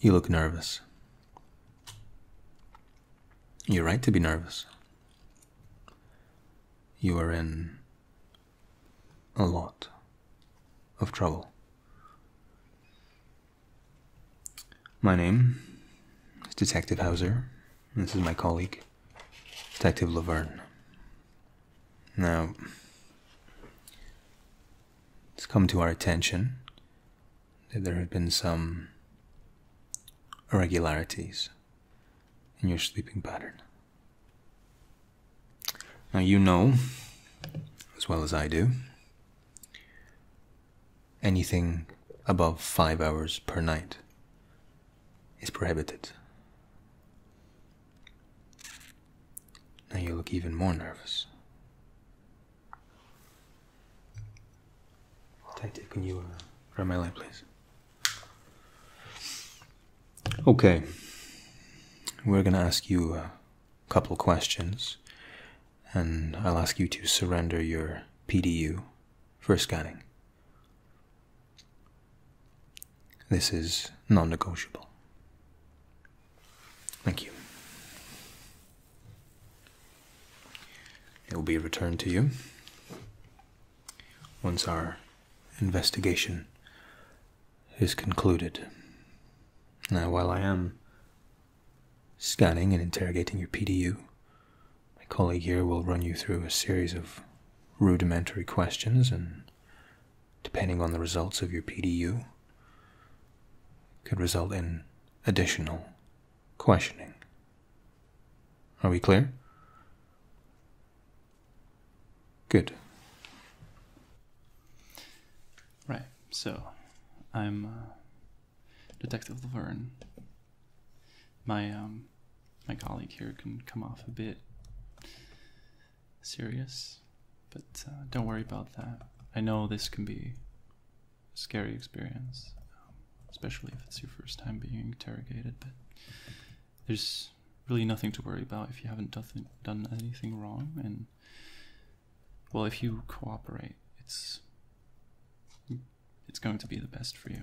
You look nervous. You're right to be nervous. You are in a lot of trouble. My name is Detective Hauser. This is my colleague, Detective Laverne. Now, it's come to our attention that there have been some irregularities in your sleeping pattern. Now, you know, as well as I do, anything above five hours per night is prohibited. Now you look even more nervous. Detective, can you uh, grab my light, please? Okay. We're going to ask you a couple questions, and I'll ask you to surrender your PDU for scanning. This is non negotiable. Thank you. It will be returned to you once our investigation is concluded. Now, while I am scanning and interrogating your PDU, my colleague here will run you through a series of rudimentary questions and depending on the results of your PDU, could result in additional questioning. Are we clear? Good. Right, so I'm uh, Detective Laverne. My um, my colleague here can come off a bit serious, but uh, don't worry about that. I know this can be a scary experience, um, especially if it's your first time being interrogated, but there's really nothing to worry about if you haven't done, done anything wrong, and well, if you cooperate, it's it's going to be the best for you.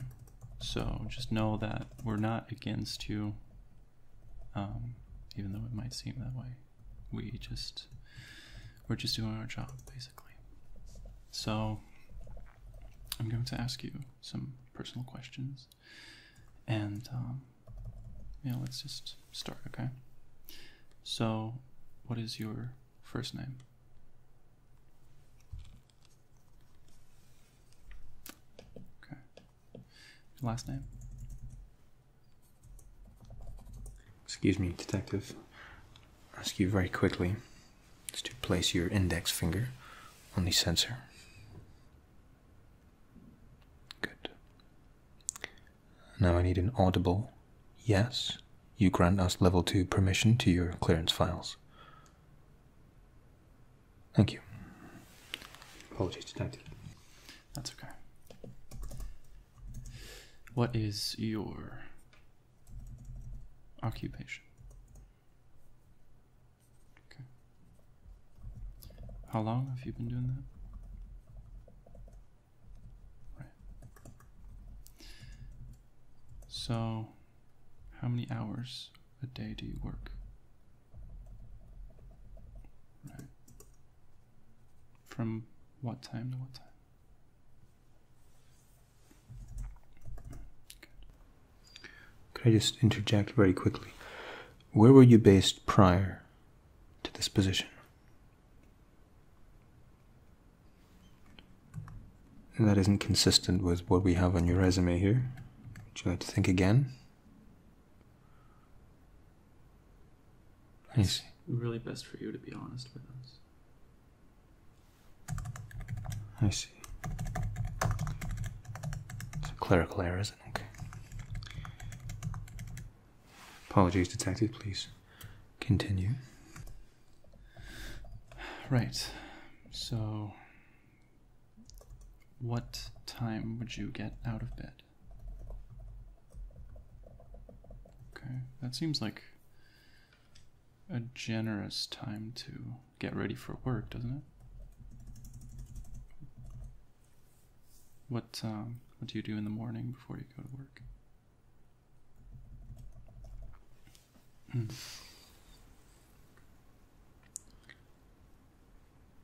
So just know that we're not against you. Um, even though it might seem that way. We just we're just doing our job basically. So I'm going to ask you some personal questions, and um, yeah, let's just start, okay? So, what is your first name? Okay last name? Excuse me, detective. I'll ask you very quickly is to place your index finger on the sensor. Good. Now I need an audible yes. You grant us level 2 permission to your clearance files. Thank you. Apologies detective. That's okay. What is your occupation? Okay. How long have you been doing that? Right. So, how many hours a day do you work? From what time to what time? Could I just interject very quickly? Where were you based prior to this position? that isn't consistent with what we have on your resume here. Would you like to think again? Let me see. Really best for you to be honest with us. I see. It's a clerical error, isn't it? Apologies, detective, please. Continue. Right. So what time would you get out of bed? Okay, that seems like a generous time to get ready for work, doesn't it? What um, what do you do in the morning before you go to work? Hmm.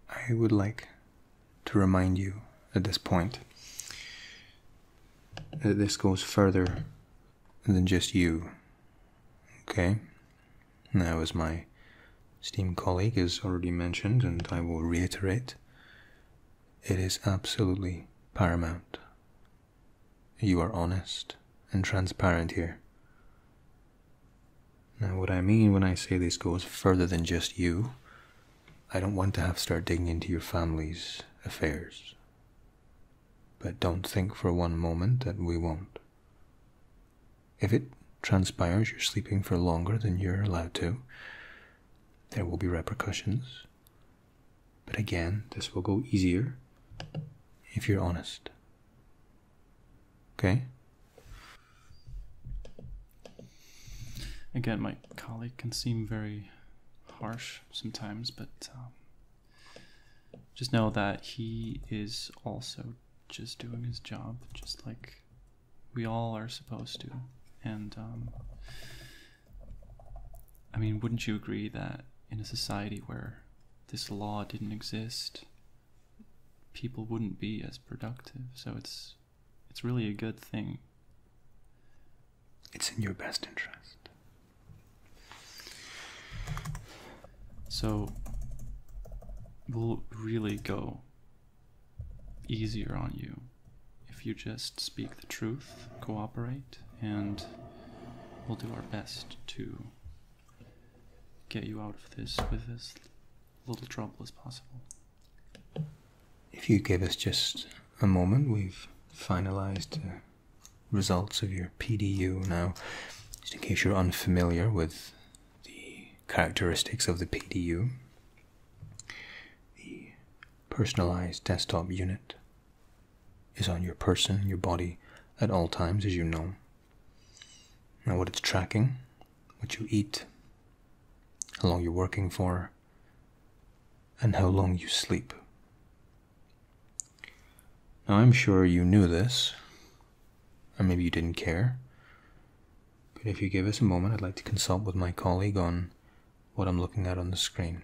I would like to remind you at this point that this goes further than just you. Okay? Now, as my esteemed colleague has already mentioned, and I will reiterate, it is absolutely paramount. You are honest and transparent here. Now, what I mean when I say this goes further than just you. I don't want to have to start digging into your family's affairs. But don't think for one moment that we won't. If it transpires you're sleeping for longer than you're allowed to, there will be repercussions. But again, this will go easier if you're honest. Okay. Again, my colleague can seem very harsh sometimes, but um, just know that he is also just doing his job, just like we all are supposed to. And um, I mean, wouldn't you agree that in a society where this law didn't exist, people wouldn't be as productive. So it's it's really a good thing. It's in your best interest. So we'll really go easier on you if you just speak the truth, cooperate, and we'll do our best to get you out of this with as little trouble as possible. If you give us just a moment, we've finalized the results of your PDU now. Just in case you're unfamiliar with the characteristics of the PDU, the Personalized Desktop Unit is on your person, your body at all times, as you know. Now, what it's tracking, what you eat, how long you're working for, and how long you sleep. Now, I'm sure you knew this, or maybe you didn't care, but if you give us a moment, I'd like to consult with my colleague on what I'm looking at on the screen.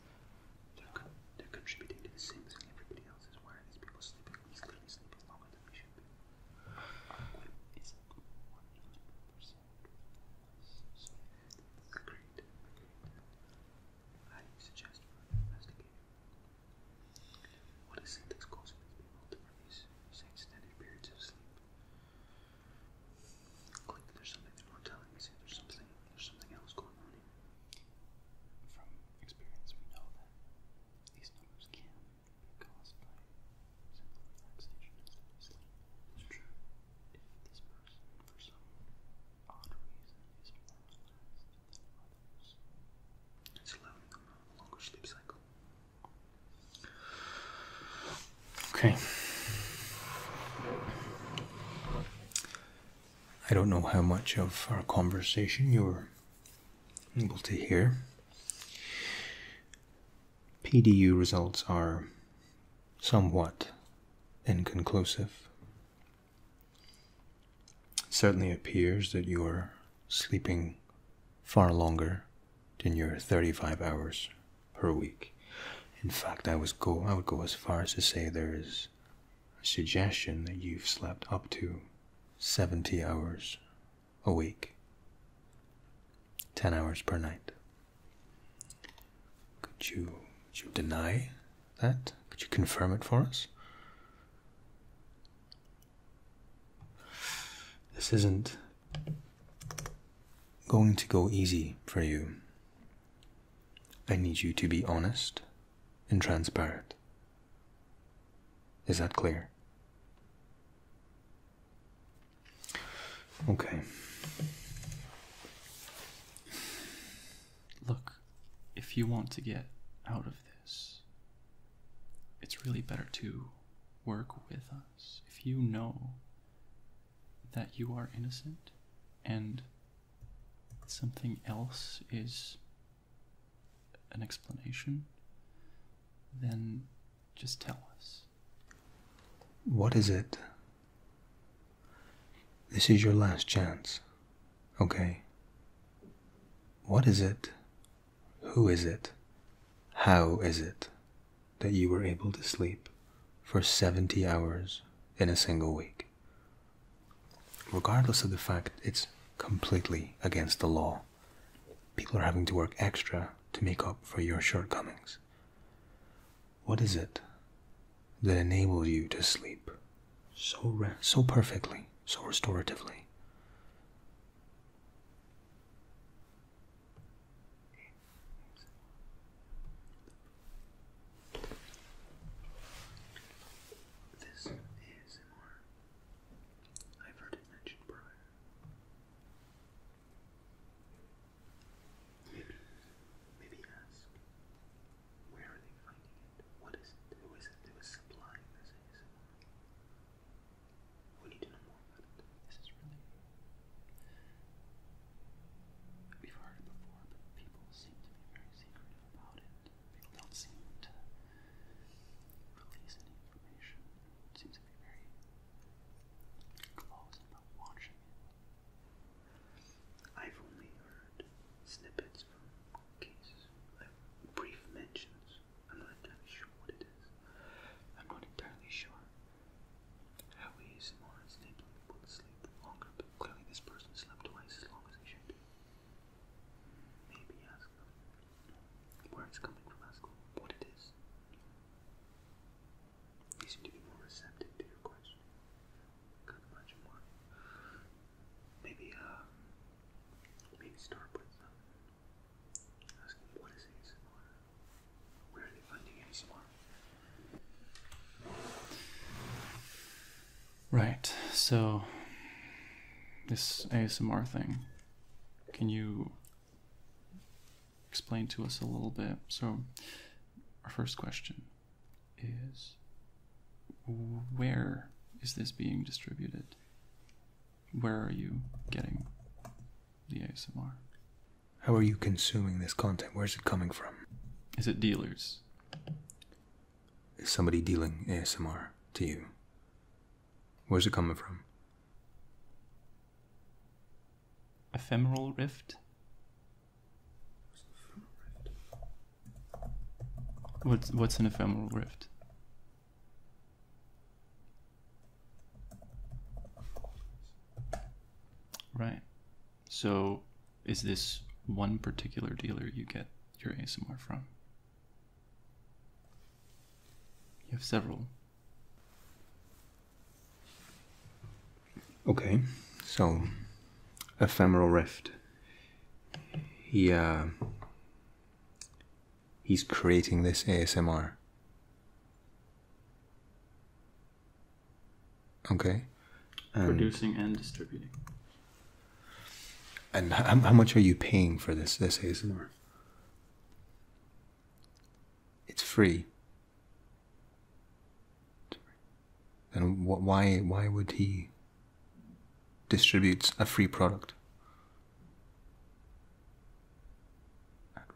They're, contributing to the Sims and everybody else is why are these people sleeping? These clearly sleeping longer than we should be. agreed, I suggest for investigating. What is it that's causing these people to produce such extended periods of sleep? Like there's something they're not telling us. There's something there's something else going on here. From experience, we know that these numbers can be caused by simple relaxation instead true. If this person, for some odd reason, is more relaxed than others, it's allowing them longer sleep cycle. Okay. I don't know how much of our conversation you were able to hear. PDU results are somewhat inconclusive. It certainly appears that you are sleeping far longer than your 35 hours per week. In fact, I was go I would go as far as to say there is a suggestion that you've slept up to 70 hours a week, 10 hours per night. Could you, could you deny that? Could you confirm it for us? This isn't going to go easy for you. I need you to be honest and transparent. Is that clear? Okay. Look, if you want to get out of this, it's really better to work with us. If you know that you are innocent and something else is an explanation, then just tell us. What is it? This is your last chance, okay? What is it? Who is it? How is it that you were able to sleep for 70 hours in a single week? Regardless of the fact it's completely against the law, people are having to work extra to make up for your shortcomings. What is it that enables you to sleep so, so perfectly, so restoratively? This ASMR, I've heard it mentioned prior. Maybe, maybe ask, where are they finding it? What is it? Who is it who is supplying this ASMR? We need know more about it. This is really We've heard it before, but people seem to be very secretive about it. People don't seem to release any information. seems to be very close about watching it. I've only heard snippets from cases, uh, brief mentions. I'm not entirely sure what it is. I'm not entirely sure Howie is more unstable and sleep longer, clearly this person slept twice as long as he should. Maybe ask them where it's coming from, ask them what it is. They seem to be more receptive to your question. Could imagine why. Maybe, uh, maybe start with um, asking what is ASMR. We're not funding anymore. Right. So this ASMR thing. Can you explain to us a little bit? So our first question is where is this being distributed? Where are you getting the ASMR? How are you consuming this content? Where's it coming from? Is it dealers? Is somebody dealing ASMR to you? Where's it coming from? Ephemeral Rift? What's what's an ephemeral rift? Right. So, is this one particular dealer you get your ASMR from? You have several. Okay, so ephemeral rift. He uh, he's creating this ASMR. Okay. Producing and distributing. And how, much are you paying for this, this ASMR? It's free. Then why why would he distribute a free product?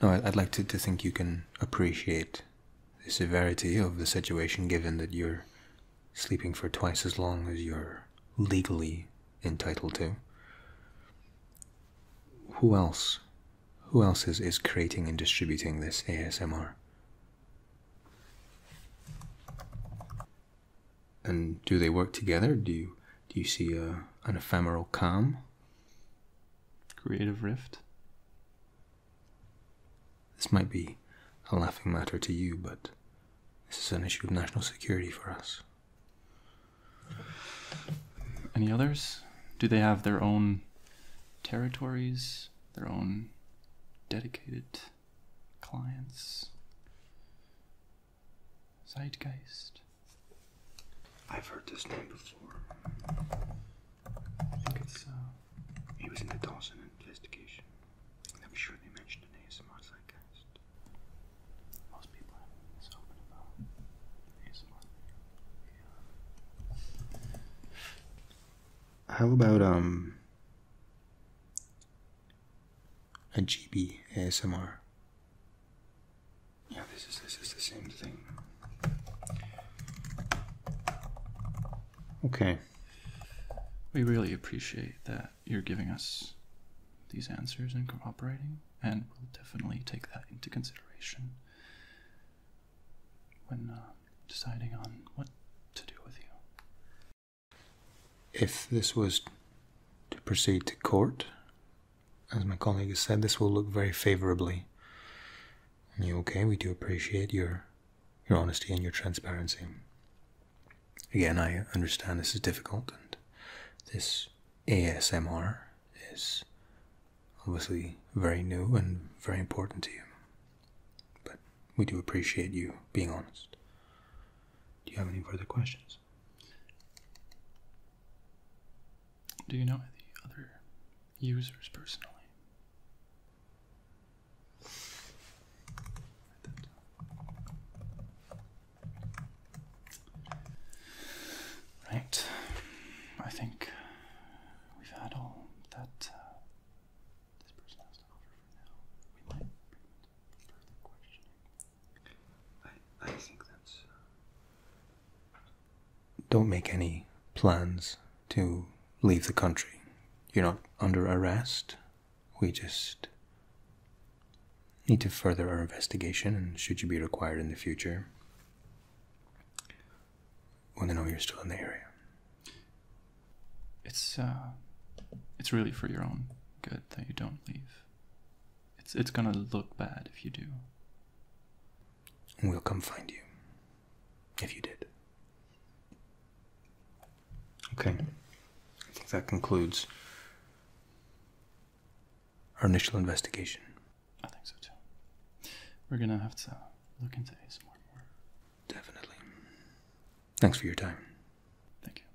No, I'd like to, think you can appreciate the severity of the situation given that you're sleeping for twice as long as you're legally entitled to. Who else? Who else is, is creating and distributing this ASMR? And do they work together? Do you do you see an ephemeral calm Creative Rift? This might be a laughing matter to you, but this is an issue of national security for us. Any others? Do they have their own territories, their own dedicated clients? Zeitgeist. I've heard this name before. I think it's, uh. in the Dawson investigation. I'm sure they mentioned an ASMR Zeitgeist. Most people haven't been ASMR. How about, um. A GB ASMR? Yeah, this is this is the same thing. Okay. We really appreciate that you're giving us these answers and cooperating, and we'll definitely take that into consideration when uh, deciding on what to do with you. If this was to proceed to court, as my colleague has said, this will look very favorably on you. Okay, we do appreciate your your honesty and your transparency. Again, I understand this is difficult, and this ASMR is obviously very new and very important to you. But we do appreciate you being honest. Do you have any further questions? Do you know any other users personally? Right. I think we've had all that uh, this person has to offer for now. We might uh, don't make any plans to leave the country. You're not under arrest. We just need to further our investigation, and should you be required in the future, want to know you're still in the area. It's uh, it's really for your own good that you don't leave. It's it's gonna look bad if you do. We'll come find you. If you did. Okay. I think that concludes our initial investigation. I think so too. We're gonna have to look into this more. Definitely. Thanks for your time. Thank you.